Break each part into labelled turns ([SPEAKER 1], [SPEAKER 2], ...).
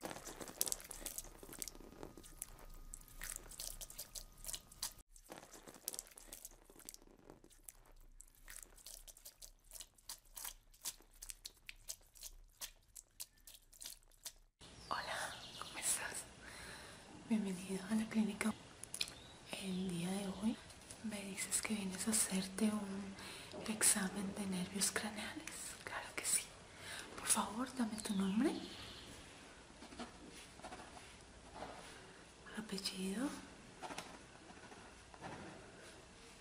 [SPEAKER 1] Hola, ¿cómo estás? Bienvenido a la clínica. El día de hoy me dices que vienes a hacerte un examen de nervios craneales. Claro que sí. Por favor, dame tu nombre. Apellido.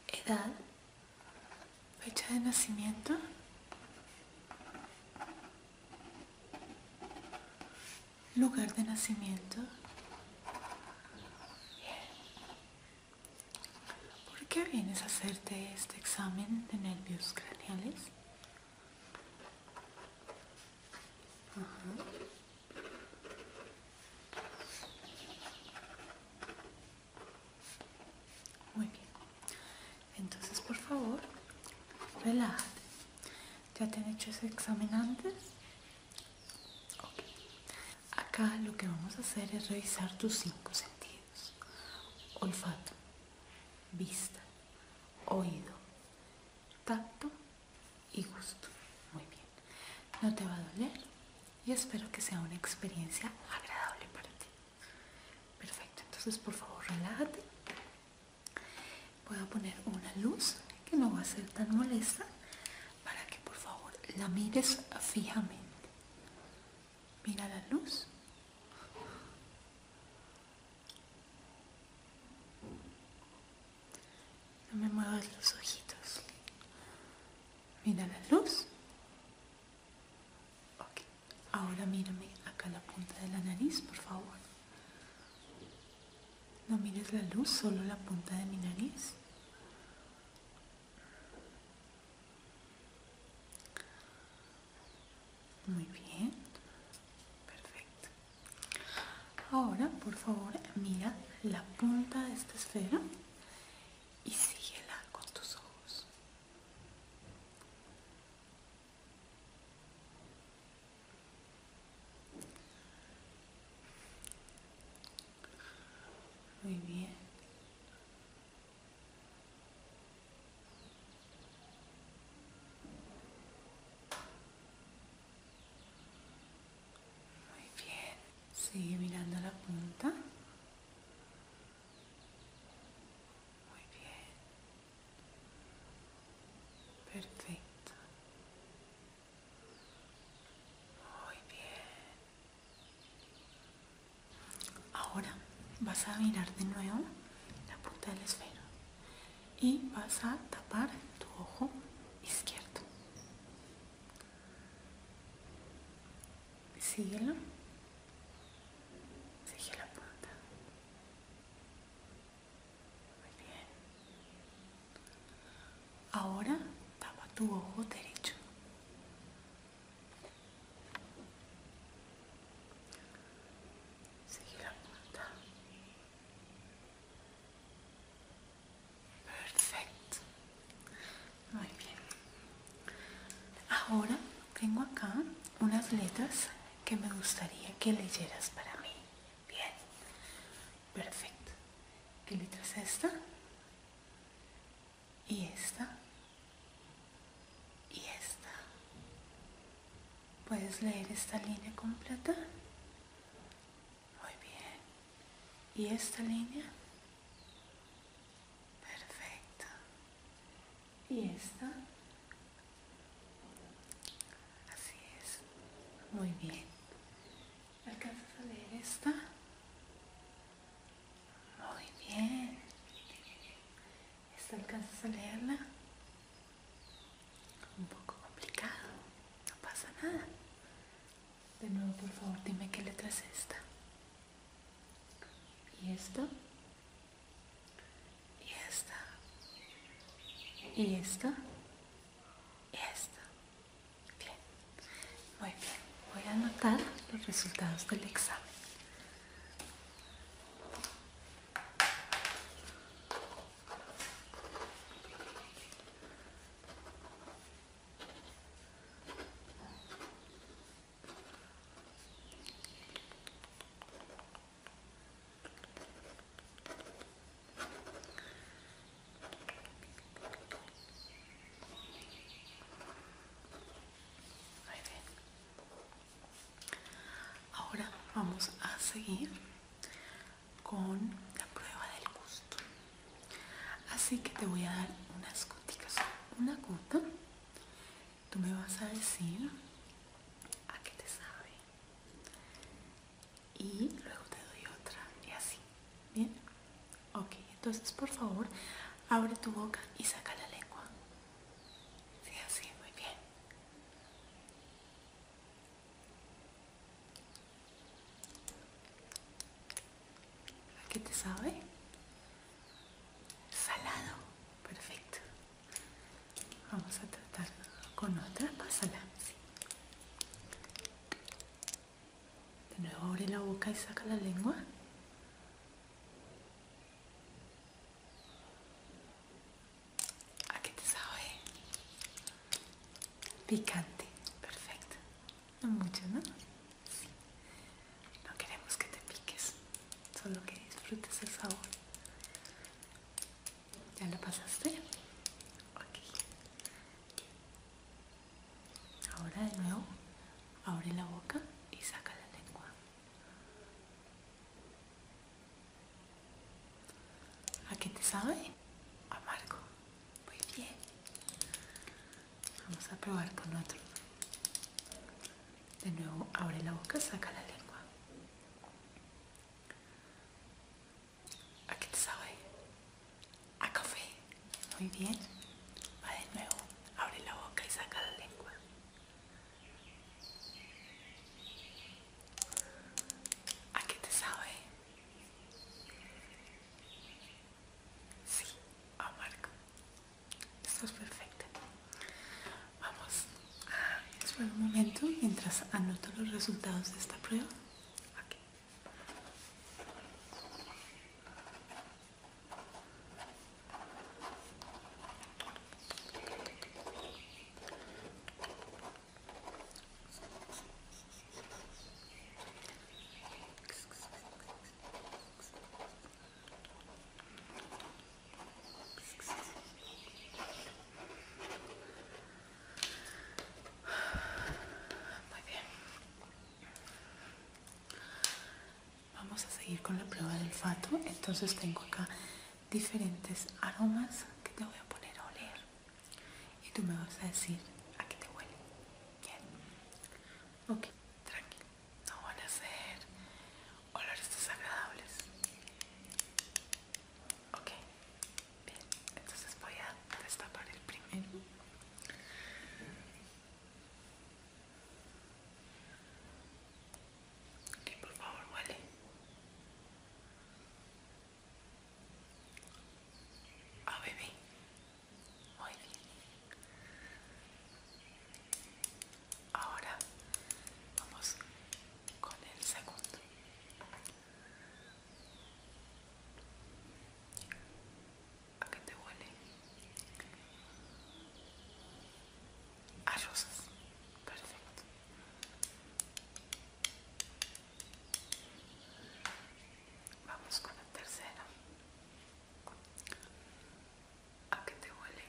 [SPEAKER 1] Edad. Fecha de nacimiento. Lugar de nacimiento. ¿Por qué vienes a hacerte este examen de nervios craneales? Muy bien. Entonces, por favor, relájate. ¿Ya te han hecho ese examen antes? Ok. Acá lo que vamos a hacer es revisar tus cinco sentidos. Olfato, vista, oído, tacto y gusto. Muy bien. No te va a doler y espero que sea una experiencia agradable para ti. Perfecto. Entonces, por favor, relájate. Voy a poner una luz que no va a ser tan molesta para que por favor la mires fijamente. Mira la luz. No me muevas los ojitos. Mira la luz. Ahora mírame acá la punta de la nariz, por favor. No mires la luz, solo la punta de mi nariz. Muy bien, perfecto. Ahora, por favor, mira la punta de esta esfera y síguela con tus ojos. Muy bien. Muy bien. Sigue mirando la punta. Muy bien. Perfecto. Muy bien. Ahora vas a mirar de nuevo la punta del esfero y vas a tapar tu ojo izquierdo. Síguelo. Sigue la punta. Muy Ahora tapa tu ojo derecho. Sigue la punta. Perfecto. Muy bien. Ahora tengo acá unas letras que me gustaría que leyeras para mí. Bien. Perfecto. ¿Qué letra es esta? Y esta. Y esta. ¿Puedes leer esta línea completa? Muy bien. ¿Y esta línea? Perfecto. ¿Y esta? Así es. Muy bien. ¿Alcanzas a leer esta? Muy bien. ¿Esta alcanzas a leerla? Un poco complicado. No pasa nada. De nuevo, por favor, dime qué letra es esta. ¿Y esta? ¿Y esta? ¿Y esta? Esto. Bien. Muy bien. Voy a anotar los resultados del examen. Ahora vamos a seguir con la prueba del gusto. Así que te voy a dar unas goticas, una gota. Tú me vas a decir a qué te sabe, y luego te doy otra y así, ¿bien? Ok, entonces por favor abre tu boca y saca la lengua. Sí, así, muy bien. ¿A qué te sabe? Salado, perfecto. Vamos a tratar con otra, pásala. De nuevo abre la boca y saca la lengua. ¿A qué te sabe? Picante, perfecto. No mucho, ¿no? No queremos que te piques, solo que disfrutes el sabor. ¿Ya lo pasaste? Ahora de nuevo, abre la boca y saca la lengua. ¿A qué te sabe? Amargo. Muy bien. Vamos a probar con otro. De nuevo, abre la boca, saca la lengua. ¿A qué te sabe? A café. Muy bien. Va de nuevo. Abre la boca y saca la lengua. ¿A qué te sabe? Sí, Marco. Esto es perfecto. Vamos a esperar un momento mientras anoto los resultados de esta prueba. Vamos a seguir con la prueba del olfato. Entonces tengo acá diferentes aromas que te voy a poner a oler. Y tú me vas a decir a qué te huele. Bien. Ok, tranquilo no van a ser olores desagradables. Ok, bien, entonces voy a destapar el primero. Ok, por favor, huele. Ah, oh, bebé. Muy bien. Ahora vamos con el segundo. ¿A qué te huele? A Perfecto. Vamos con la tercera. ¿A qué te huele?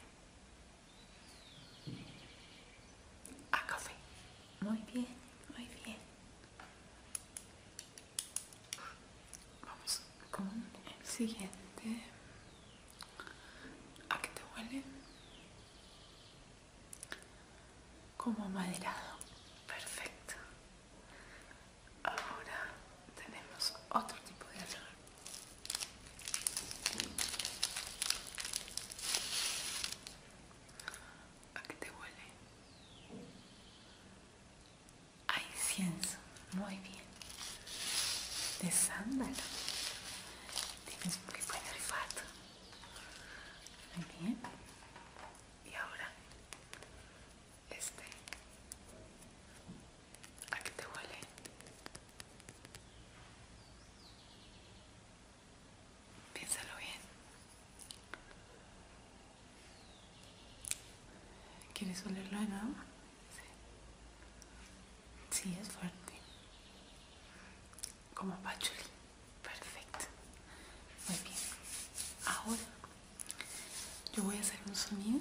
[SPEAKER 1] A café. Muy bien, muy bien. Vamos con el siguiente. ¿A qué te huele? Como maderado. Perfecto. Ahora tenemos otro tipo de error. ¿A qué te huele? Hay incienso, muy bien. De sándalo. Tienes muy buen olfato. Muy bien. Y ahora, este. ¿A qué te huele? Piénsalo bien. ¿Quieres olerlo de nuevo? Sí. Sí, es fuerte. Como pachuli. Perfecto. Muy bien. Ahora yo voy a hacer un sonido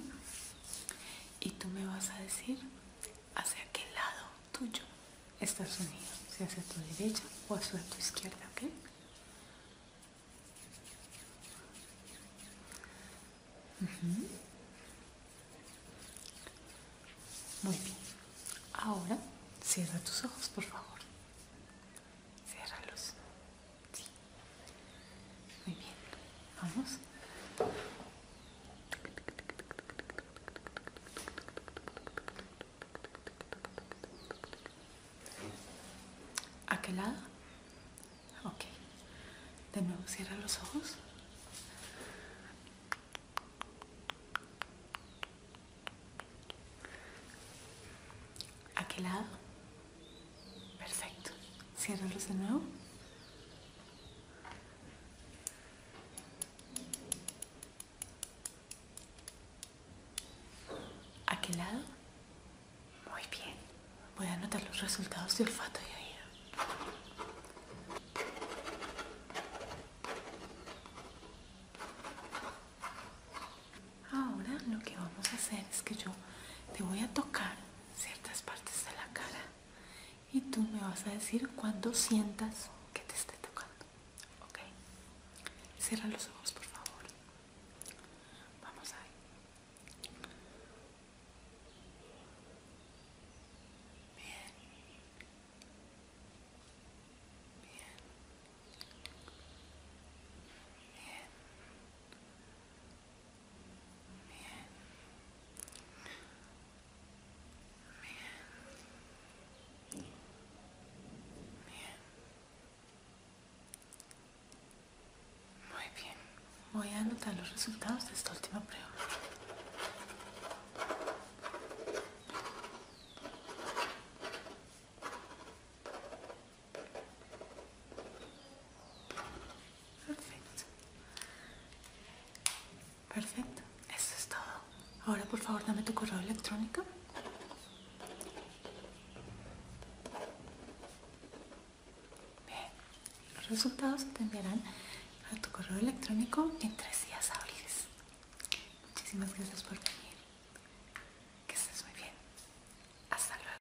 [SPEAKER 1] y tú me vas a decir hacia qué lado tuyo está el sonido, si hacia tu derecha o hacia tu izquierda, ¿ok? Muy bien. Ahora cierra tus ojos, por favor. Ciérralos. Sí. Muy bien. Vamos. ¿A qué lado? Ok. De nuevo, cierra los ojos. ¿A qué lado? Perfecto. Cierra de nuevo. ¿A qué lado? Muy bien. Voy a anotar los resultados de olfato y oído. Ahora lo que vamos a hacer es que yo te voy a tocar ciertas partes de la cara y tú me vas a decir cuando sientas que te esté tocando. ¿Ok? Cierra los ojos, por favor. Vamos ahí. Bien. Bien. Muy bien. Voy a anotar los resultados de esta última prueba. Perfecto. Perfecto. Eso es todo. Ahora por favor dame tu correo electrónico. Bien. Los resultados se te enviarán a tu correo electrónico en tres días hábiles. Muchísimas gracias por venir. Que estés muy bien. Hasta luego.